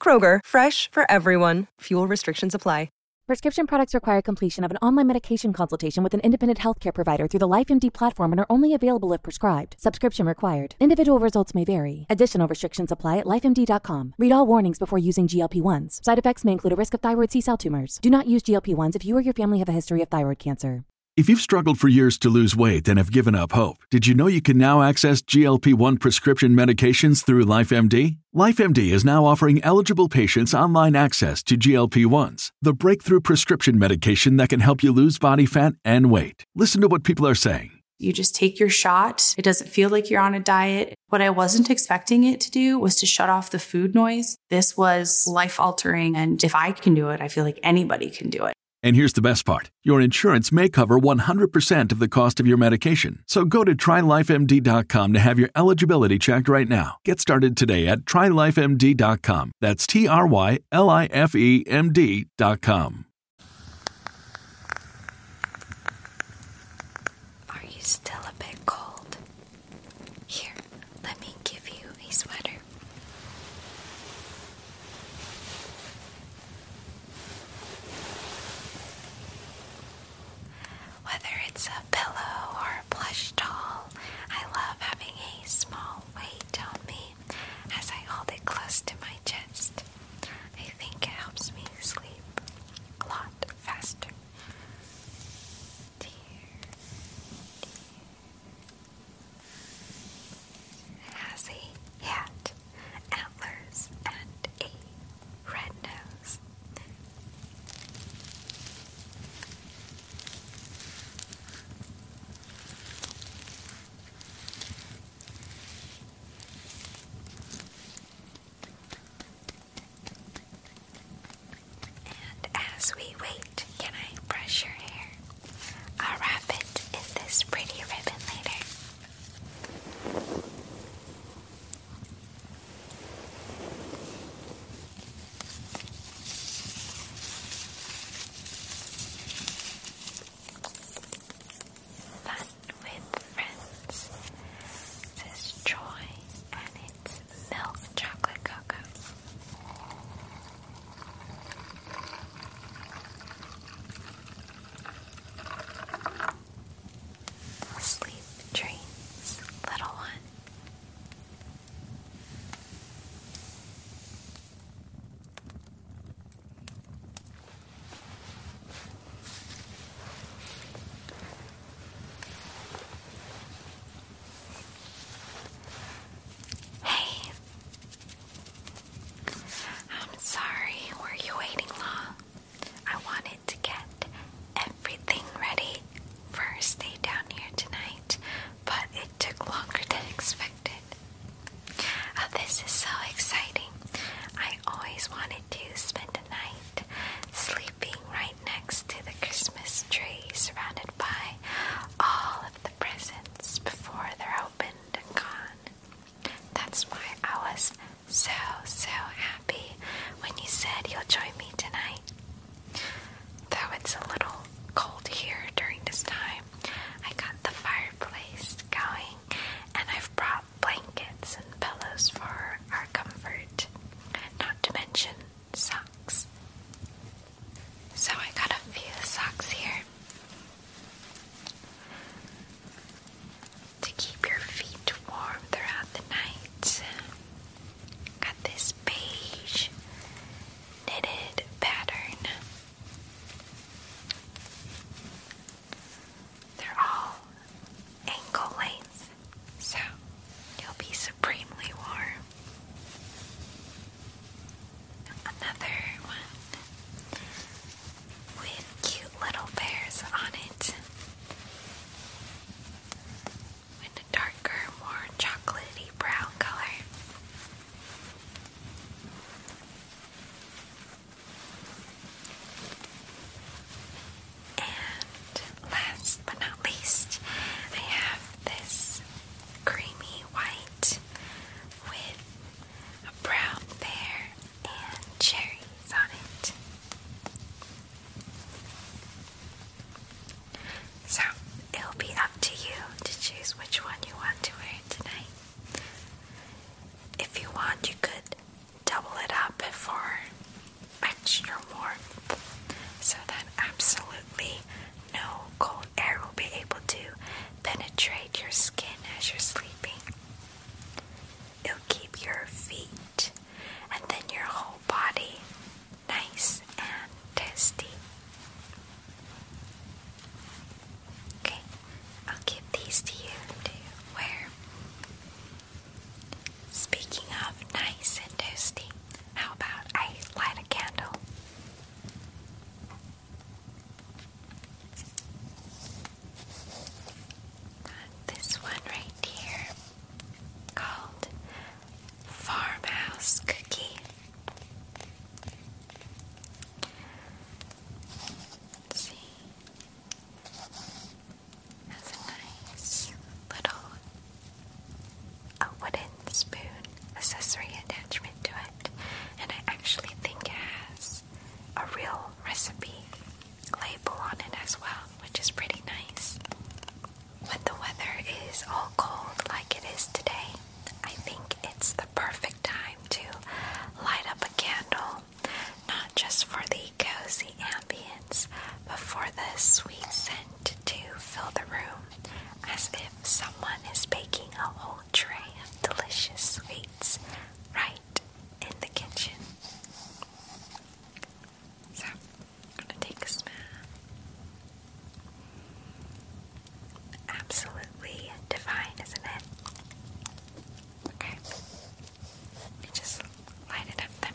Kroger, fresh for everyone. Fuel restrictions apply. Prescription products require completion of an online medication consultation with an independent healthcare provider through the LifeMD platform and are only available if prescribed. Subscription required. Individual results may vary. Additional restrictions apply at lifemd.com. Read all warnings before using GLP 1s. Side effects may include a risk of thyroid C cell tumors. Do not use GLP 1s if you or your family have a history of thyroid cancer. If you've struggled for years to lose weight and have given up hope, did you know you can now access GLP 1 prescription medications through LifeMD? LifeMD is now offering eligible patients online access to GLP 1s, the breakthrough prescription medication that can help you lose body fat and weight. Listen to what people are saying. You just take your shot. It doesn't feel like you're on a diet. What I wasn't expecting it to do was to shut off the food noise. This was life altering. And if I can do it, I feel like anybody can do it. And here's the best part your insurance may cover 100% of the cost of your medication. So go to trylifemd.com to have your eligibility checked right now. Get started today at trylifemd.com. That's T R Y L I F E M D.com. Are you still a bit cold? Here, let me give you a sweater. Whether it's a pillow or a plush doll, I love having a small weight on me as I hold it close to my chest. I think it helps me sleep a lot faster has a hat, antlers, and a red nose. And as we wait, can I brush your hair? I'll wrap it in this pretty ribbon later. Fun with friends. This Joy, and it's milk chocolate cocoa. Sleep dreams, little one. Hey, I'm sorry, were you waiting long? I wanted to get everything ready for our stay down here tonight, but it took longer than expected. Oh, this is so exciting. I always wanted to spend a night sleeping right next to the Christmas tree, surrounded by all of the presents before they're opened and gone. That's why I was so, so happy when you said you'll join me tonight. Though it's a little cold here during this time, I got the fireplace going and I've brought blankets and pillows for our comfort, not to mention socks. So I got a few socks here to keep your feet warm throughout the night. Got this beige knitted pattern. They're all ankle length, so you'll be supremely warm another one with cute little bears on it. With a darker, more chocolatey brown color. And last but not least, I have this creamy white with a brown bear, and cherries on it. So, it'll be up to you to choose which one you want to wear tonight. If you want, you could double it up for extra warmth so that absolutely no cold air will be able to penetrate your skin as you're sleeping. It'll keep your feet and then your whole body nice and tasty. Okay, I'll give these to you to wear. Speaking of nice and toasty, how about I light a candle? this one right here called Farmhouse Cookie. Has a nice little a wooden spoon accessory attachment to it, and I actually think it has a real recipe label on it as well, which is pretty nice. When the weather is all cold like it is today, I think it's the perfect time to light up a candle, not just for the cozy ambience, but for the sweet scent to fill the room, as if someone is baking a whole tray of delicious sweets right in the kitchen. So, I'm gonna take a smell. Absolutely divine, isn't it? Okay. Let just light it up then.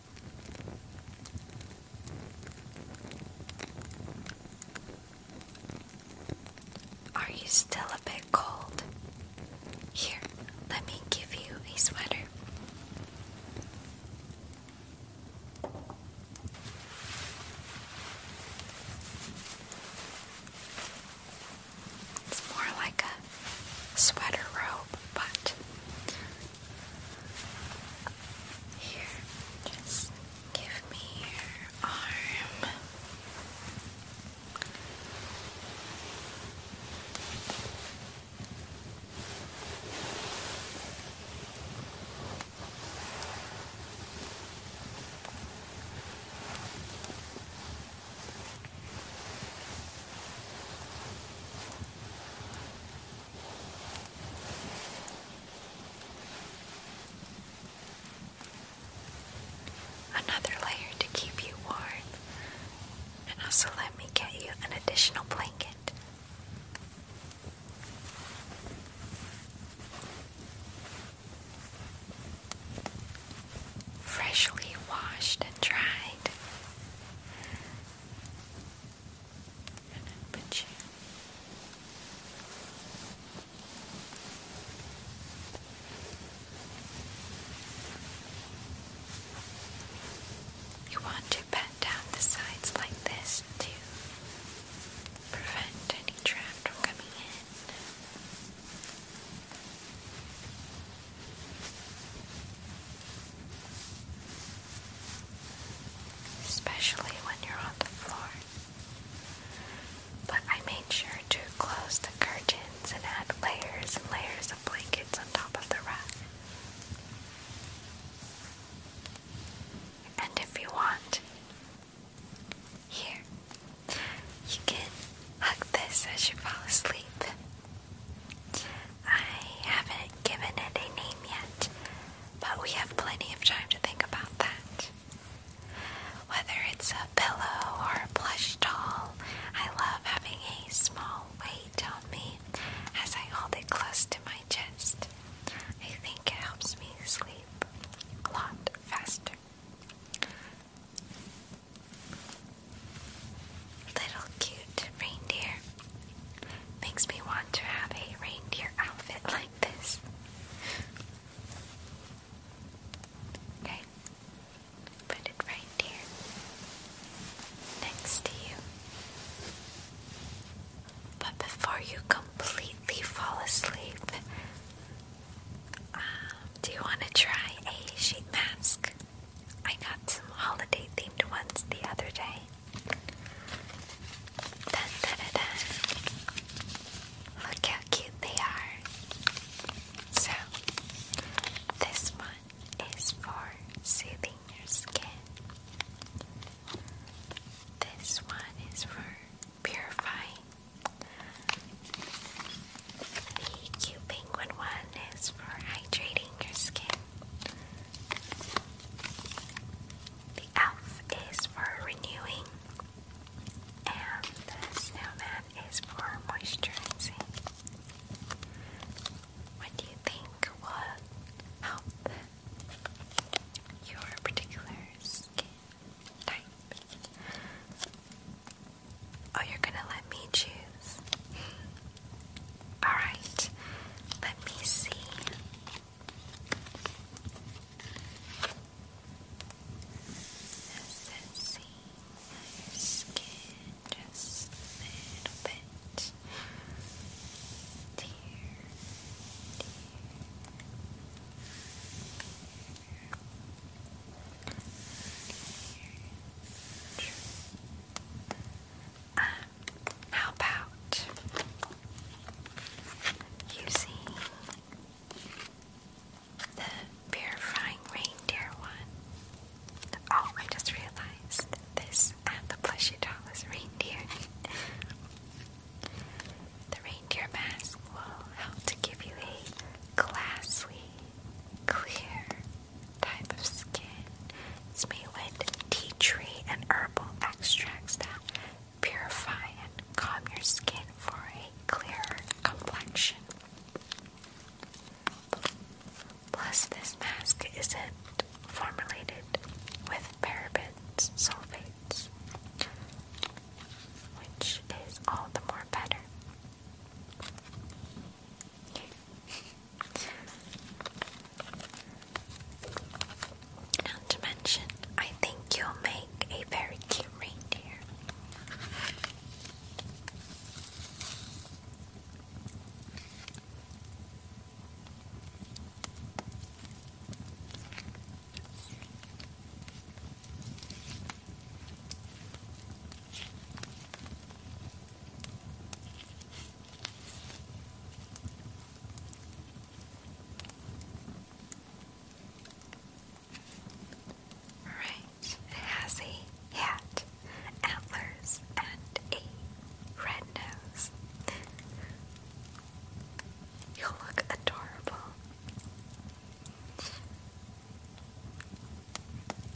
Are you still a bit cold? Here, let me give you a sweater. It's more like a sweater robe, but here, just give me your arm. Another layer to keep you warm, and also let me get you an additional blanket. Freshly washed and dried, you. want to bend down the sides like this to prevent any draft from coming in especially when you're on the floor. But I made sure to close the curtains and add layers and layers of blankets on top of the rug. And if you want, here, you can hug this as you fall asleep. I haven't given it a name yet, but we have plenty of time to think about that. Whether it's a pillow or a plush doll, I love having a small weight on me as I hold it close to my chest. I think it helps me sleep a lot faster. Little cute reindeer. Makes me want to have a reindeer outfit like this. Okay, put it right here next to you. But before you completely fall asleep, um, do you want to try a sheet mask? I got some holiday themed ones the other day. Look how cute they are. So, this one is for soothing your skin. This one is for purifying. The cute penguin one is for hydrating your skin. The elf is for renewing, and the snowman is for moisturizing. What do you think will help your particular skin type? Oh, you're gonna let me choose? Alright, let me see. Does it see your skin just a little bit? Dear, Here, um, how about using the purifying reindeer one? Oh, I just realized this and uh, the plushie doll is reindeer. the reindeer mask will help to give you a glassy, clear, type of skin. It's made with tea tree and herbal extracts that purify and calm your skin for a clearer complexion. Plus, this mask isn't formulated with parabens sulfates, which is all the more better. Not to mention, I think you'll make a very cute reindeer. Right, it has a hat, antlers, and a red nose. You'll look adorable.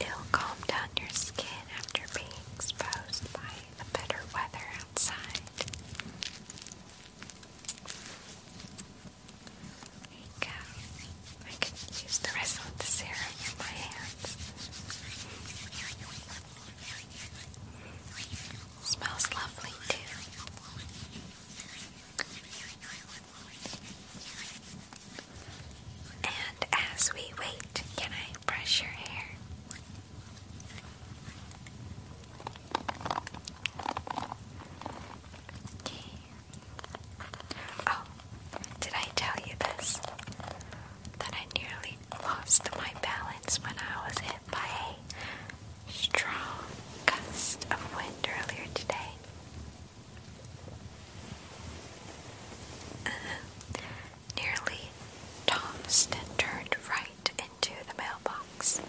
It'll calm down your skin after being exposed by the better weather outside. There you go. I can use the rest of the serum in my hands. Smells lovely too. And as we wait, can I brush your hair? Okay. Oh, did I tell you this? That I nearly lost my balance when I was hit by a strong gust of wind earlier today. Uh, nearly, Tomston turned right into the mailbox.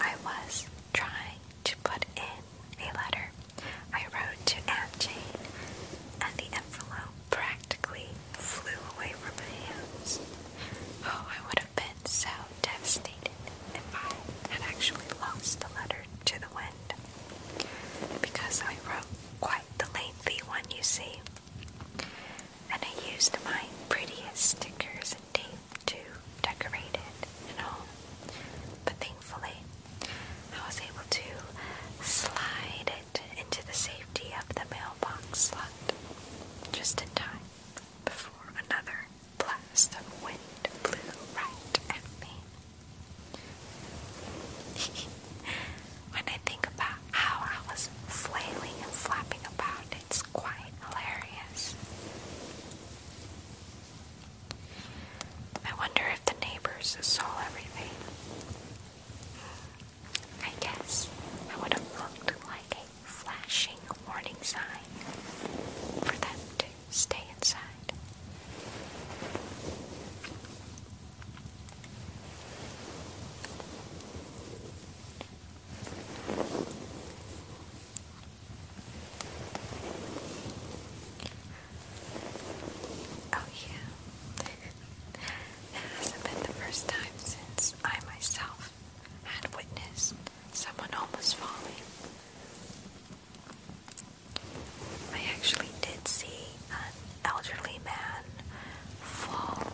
I was trying to put in a letter I wrote to Aunt Jane, and the envelope practically flew away from my hands. Oh, I would have been so devastated if I had actually lost the letter to the wind because I wrote quite the lengthy one, you see. And I used my prettiest stickers and tape to decorate it and all. But thankfully, I was able to slide it into the safety of the mailbox slot just in time before another blast of wind blew right at me. when I think about how I was flailing and flapping about, it's quite hilarious. I wonder if the neighbors saw everything. I guess I would have looked like a flashing warning sign for them to stay inside. Oh, yeah. that hasn't been the first time since I myself had witnessed someone almost falling I actually did see an elderly man fall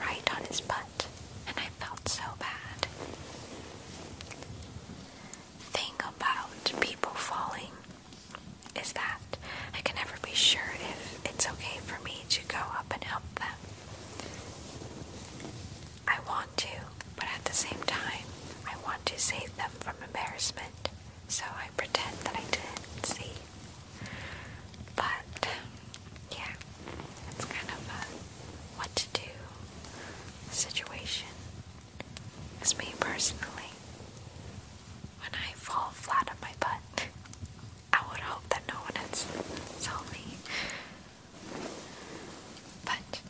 right on his butt, and I felt so bad. Thing about people falling is that I can never be sure if it's okay for me to go up and help them. I want to, but at the same time, I want to save them from embarrassment, so I pretend that I didn't see. But, yeah, it's kind of a what to do situation. As me personally. When I fall flat on my butt, I would hope that no one had saw me. But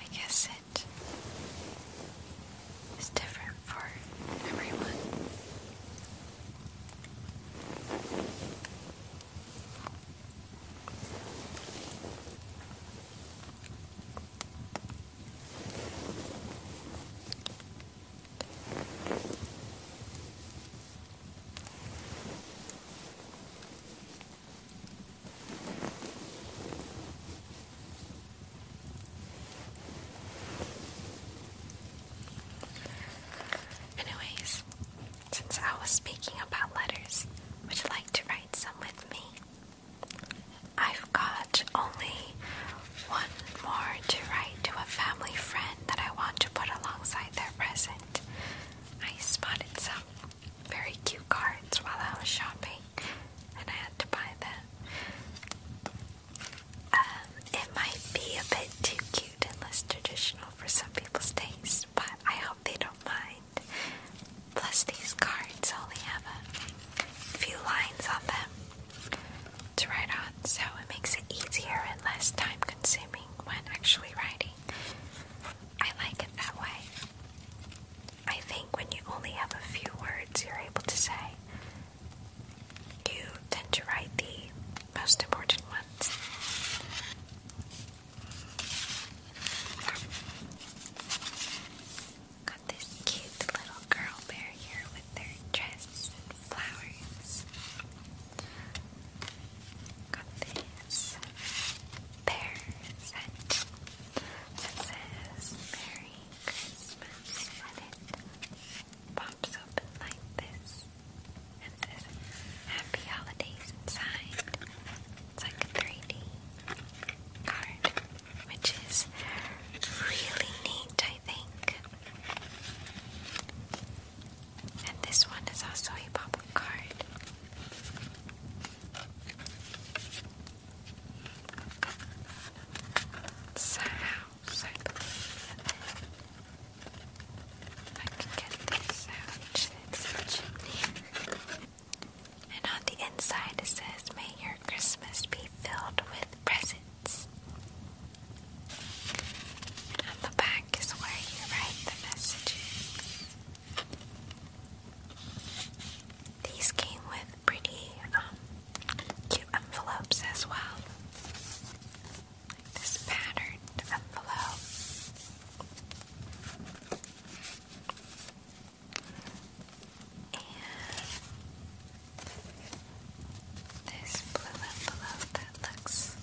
I guess it is different for everyone. Anyways, since I was speaking about letters, would you like to write some with me? I've got only one more to write to a family friend that I want to put alongside their present. I spotted some very cute cards while I was shopping and I had to buy that. Um, it might be a bit too cute and less traditional for some people's taste, but I hope they don't mind. Plus, these cards only have a few lines on them to write on, so it makes it easier and less time consuming when actually writing. I like it that way. I think when you only have a few words you're able to say, you tend to write the most important ones. Got this cute little girl bear here with their dress and flowers. Got this bear set it says Merry Christmas and it pops open like this. It says Happy Holidays inside. It's like a 3D card, which is really neat, I think. And this one is also a pop-up card. It's a house, I can get this out. And on the inside it says, May your Christmas be filled with presents. And on the back is where you write the messages. These came with pretty um, cute envelopes as well. this patterned envelope. And this blue envelope that looks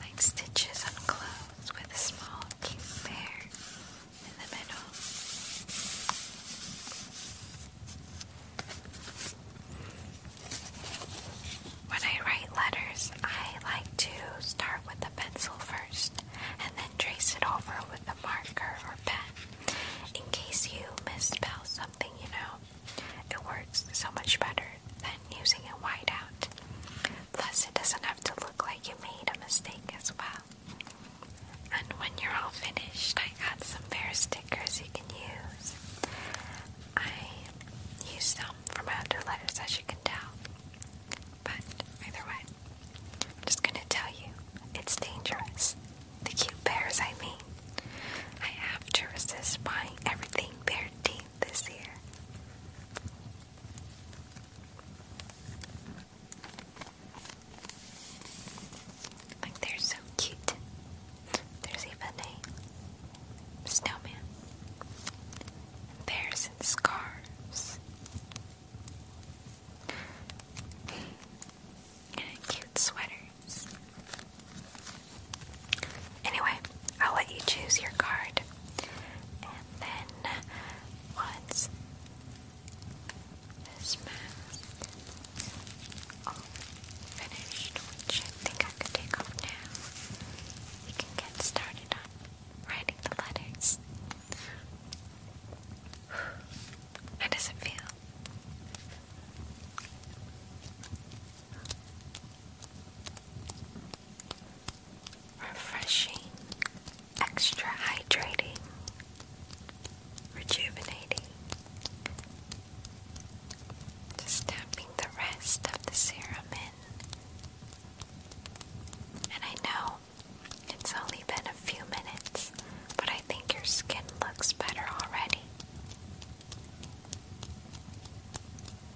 like stitches on clothes with a small pink bear in the middle. When I write letters, I like to start with a pencil first and then trace it over with a marker or pen in case you misspell something, you know. It works so much better than using a whiteout. Plus, it doesn't have to look look like you made a mistake as well. And when you're all finished, I got some bear stickers you can use. I used some from outer letters, as you can tell. But either way, I'm just gonna tell you it's dangerous. The cute bears, I mean. I have to resist buying everything bear themed this year they're so cute. There's even a snowman. And scarves. And cute sweaters. Anyway, I'll let you choose your card then what's this mask? Oh, finished, I think I could take off now. We can get started on writing the letters. How does it feel? refreshing, extra hydrating, rejuvenating. Just tapping the rest of the serum in. And I know it's only been a few minutes, but I think your skin looks better already. Tap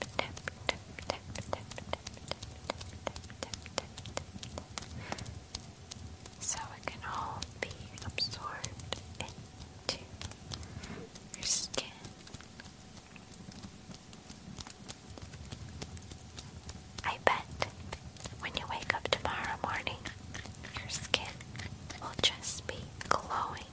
tap tap tap tap tap tap tap tap tap So it can all be absorbed into your skin. I bet when you wake up tomorrow morning, your skin will just be glowing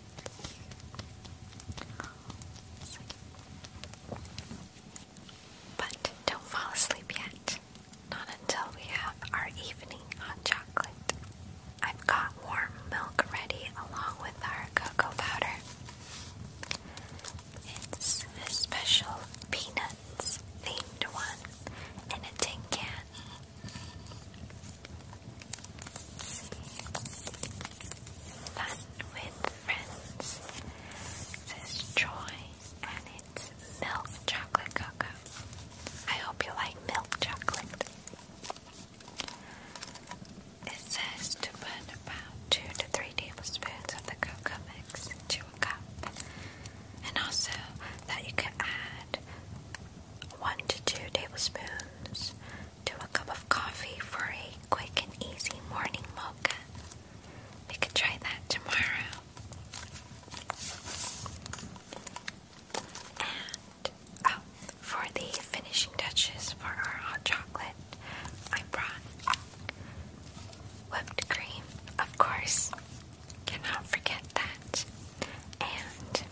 But don't fall asleep yet. Not until we have our evening hot chocolate. I've got warm milk ready along with our cocoa powder. It's a special peanuts themed one in a tin can. Fun with friends. Says Joy, and it's milk chocolate cocoa. I hope you like milk chocolate. It says to put about two to three tablespoons of the cocoa mix into a cup, and also that you can add 1 to 2 tablespoons to a cup of coffee for a quick and easy morning mocha. We could try that tomorrow. And oh, for the finishing touches for our hot chocolate, I brought whipped cream, of course. Cannot forget that. And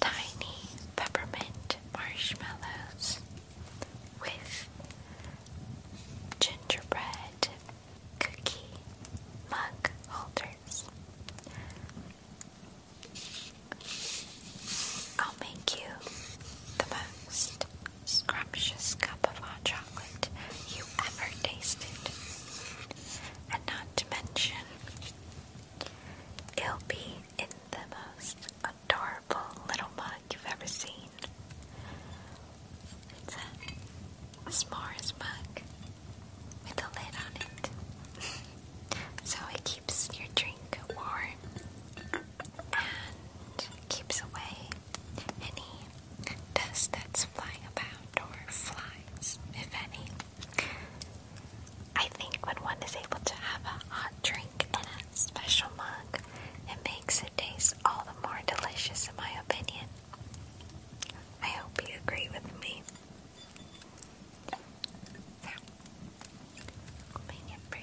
tiny peppermint marshmallows with gingerbread cookie mug holders. I'll make you the most scrumptious cup of hot chocolate you ever tasted. And not to mention It'll be in the most adorable little mug you've ever seen. It's a s'mores mug with a lid on it. so it keeps your drink warm and keeps away any dust that's flying about or flies, if any. I think when one is able to have a hot drink in a special mug, it makes it taste all the more delicious, in my opinion. I hope you agree with me. So, for you.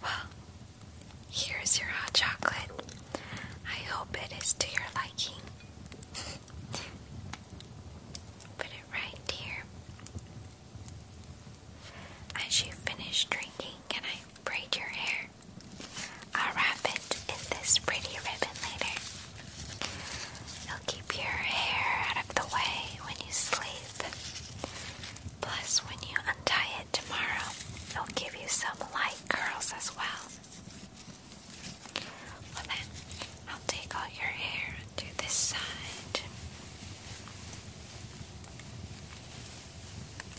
Well, here's your hot chocolate. I hope it is to your liking. Put it right here as you finish drinking, can I braid your hair? I'll wrap it in this pretty ribbon later. It'll keep your hair out of the way when you sleep. Plus, when you untie it tomorrow, it'll give you some light curls as well. Well, I'll take all your hair to this side.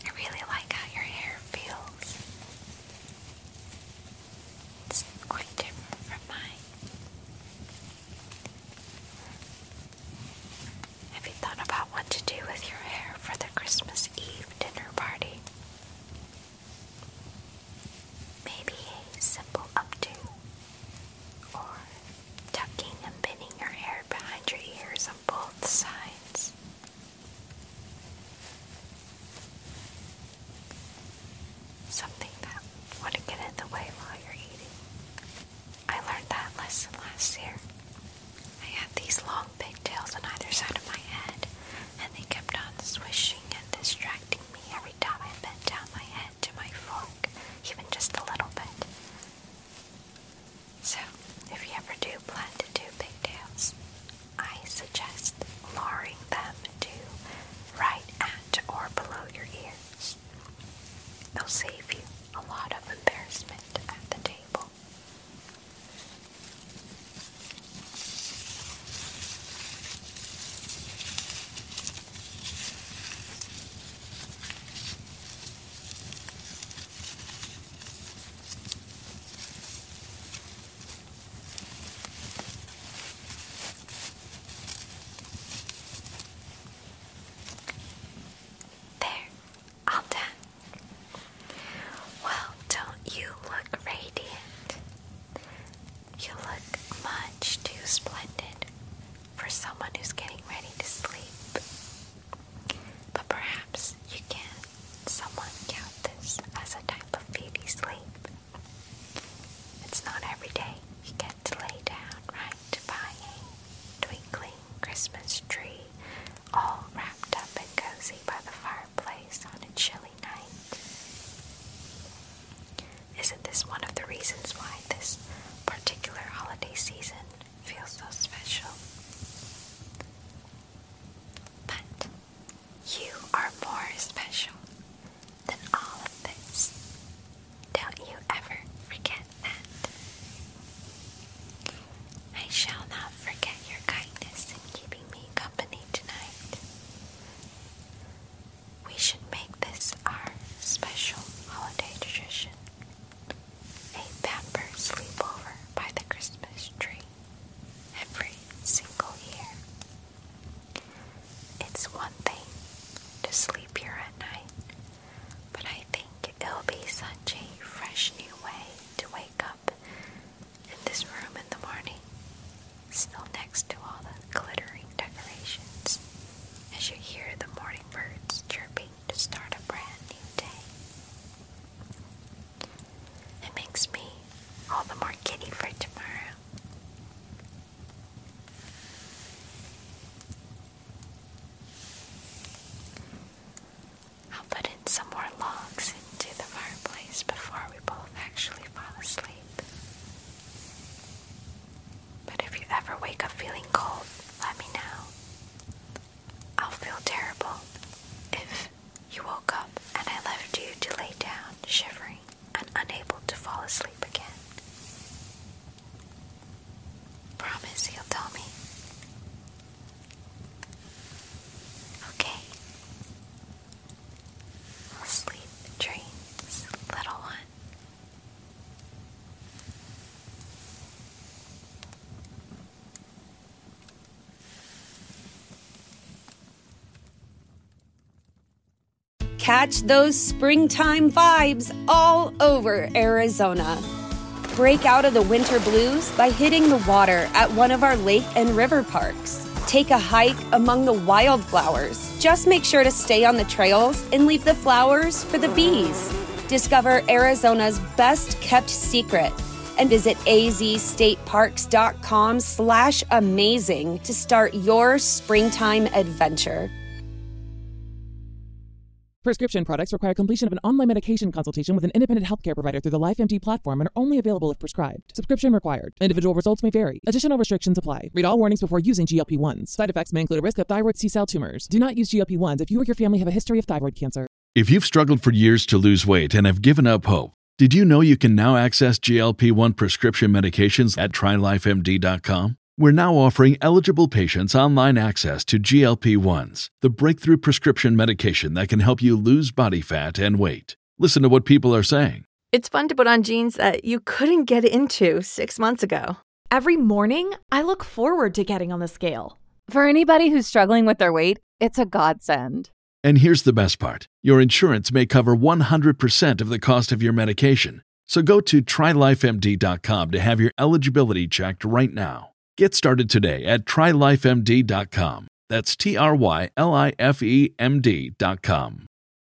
I really like how your hair feels. It's quite different from mine. Have you thought about what to do with your hair for the Christmas Eve dinner party? Maybe a simple updo or tucking and pinning your hair behind your ears on both sides. Something that wouldn't get in the way while you're eating. I learned that lesson last year. I had these long pigtails on either side of my head, and they kept on swishing and distracting me every time I bent down my head to my fork even just a little bit. So, if you ever do plan to do pigtails, I suggest lowering them to right at or below your ears. They'll save you a lot of embarrassment at the table. There, all done. Well, don't you look radiant? You look much too splendid for someone who's getting ready to sleep. But perhaps you can somewhat count this as a type of beauty sleep. It's not every day you get to lay down right by a twinkling Christmas tree, all wrapped up and cozy by the fireplace on a chilly night. Isn't this one of the reasons why this particular holiday season feels so special? But you are more special than all of this. Don't you ever forget that. I shall not forget your kindness in keeping me company tonight. We should make this our special holiday tradition a pamper sleepover by the Christmas tree every single year. It's one thing to sleep here at night, but I think it'll be such a fresh new way to wake up in this room in the morning still next to all the glittering decorations, as you hear the morning birds chirping to start a brand new day. It makes me all the more giddy for tomorrow. I'll put in some more logs into the fireplace before we both actually fall asleep. But if you ever wake up feeling cold, let me know. I'll feel terrible if you woke up and I left you to lay down, shivering and unable to fall asleep again. Promise you'll tell me. Okay. Sleep dreams, little one. Catch those springtime vibes all over Arizona. Break out of the winter blues by hitting the water at one of our lake and river parks. Take a hike among the wildflowers just make sure to stay on the trails and leave the flowers for the bees. Discover Arizona's best kept secret and visit azstateparks.com slash amazing to start your springtime adventure. Prescription products require completion of an online medication consultation with an independent healthcare provider through the LifeMD platform and are only available if prescribed. Subscription required. Individual results may vary. Additional restrictions apply. Read all warnings before using GLP 1s. Side effects may include a risk of thyroid C cell tumors. Do not use GLP 1s if you or your family have a history of thyroid cancer. If you've struggled for years to lose weight and have given up hope, did you know you can now access GLP 1 prescription medications at trylifemd.com? We're now offering eligible patients online access to GLP 1s, the breakthrough prescription medication that can help you lose body fat and weight. Listen to what people are saying. It's fun to put on jeans that you couldn't get into six months ago. Every morning, I look forward to getting on the scale. For anybody who's struggling with their weight, it's a godsend. And here's the best part your insurance may cover 100% of the cost of your medication. So go to trylifemd.com to have your eligibility checked right now. Get started today at trylifemd.com. That's T R Y L I F E M D.com.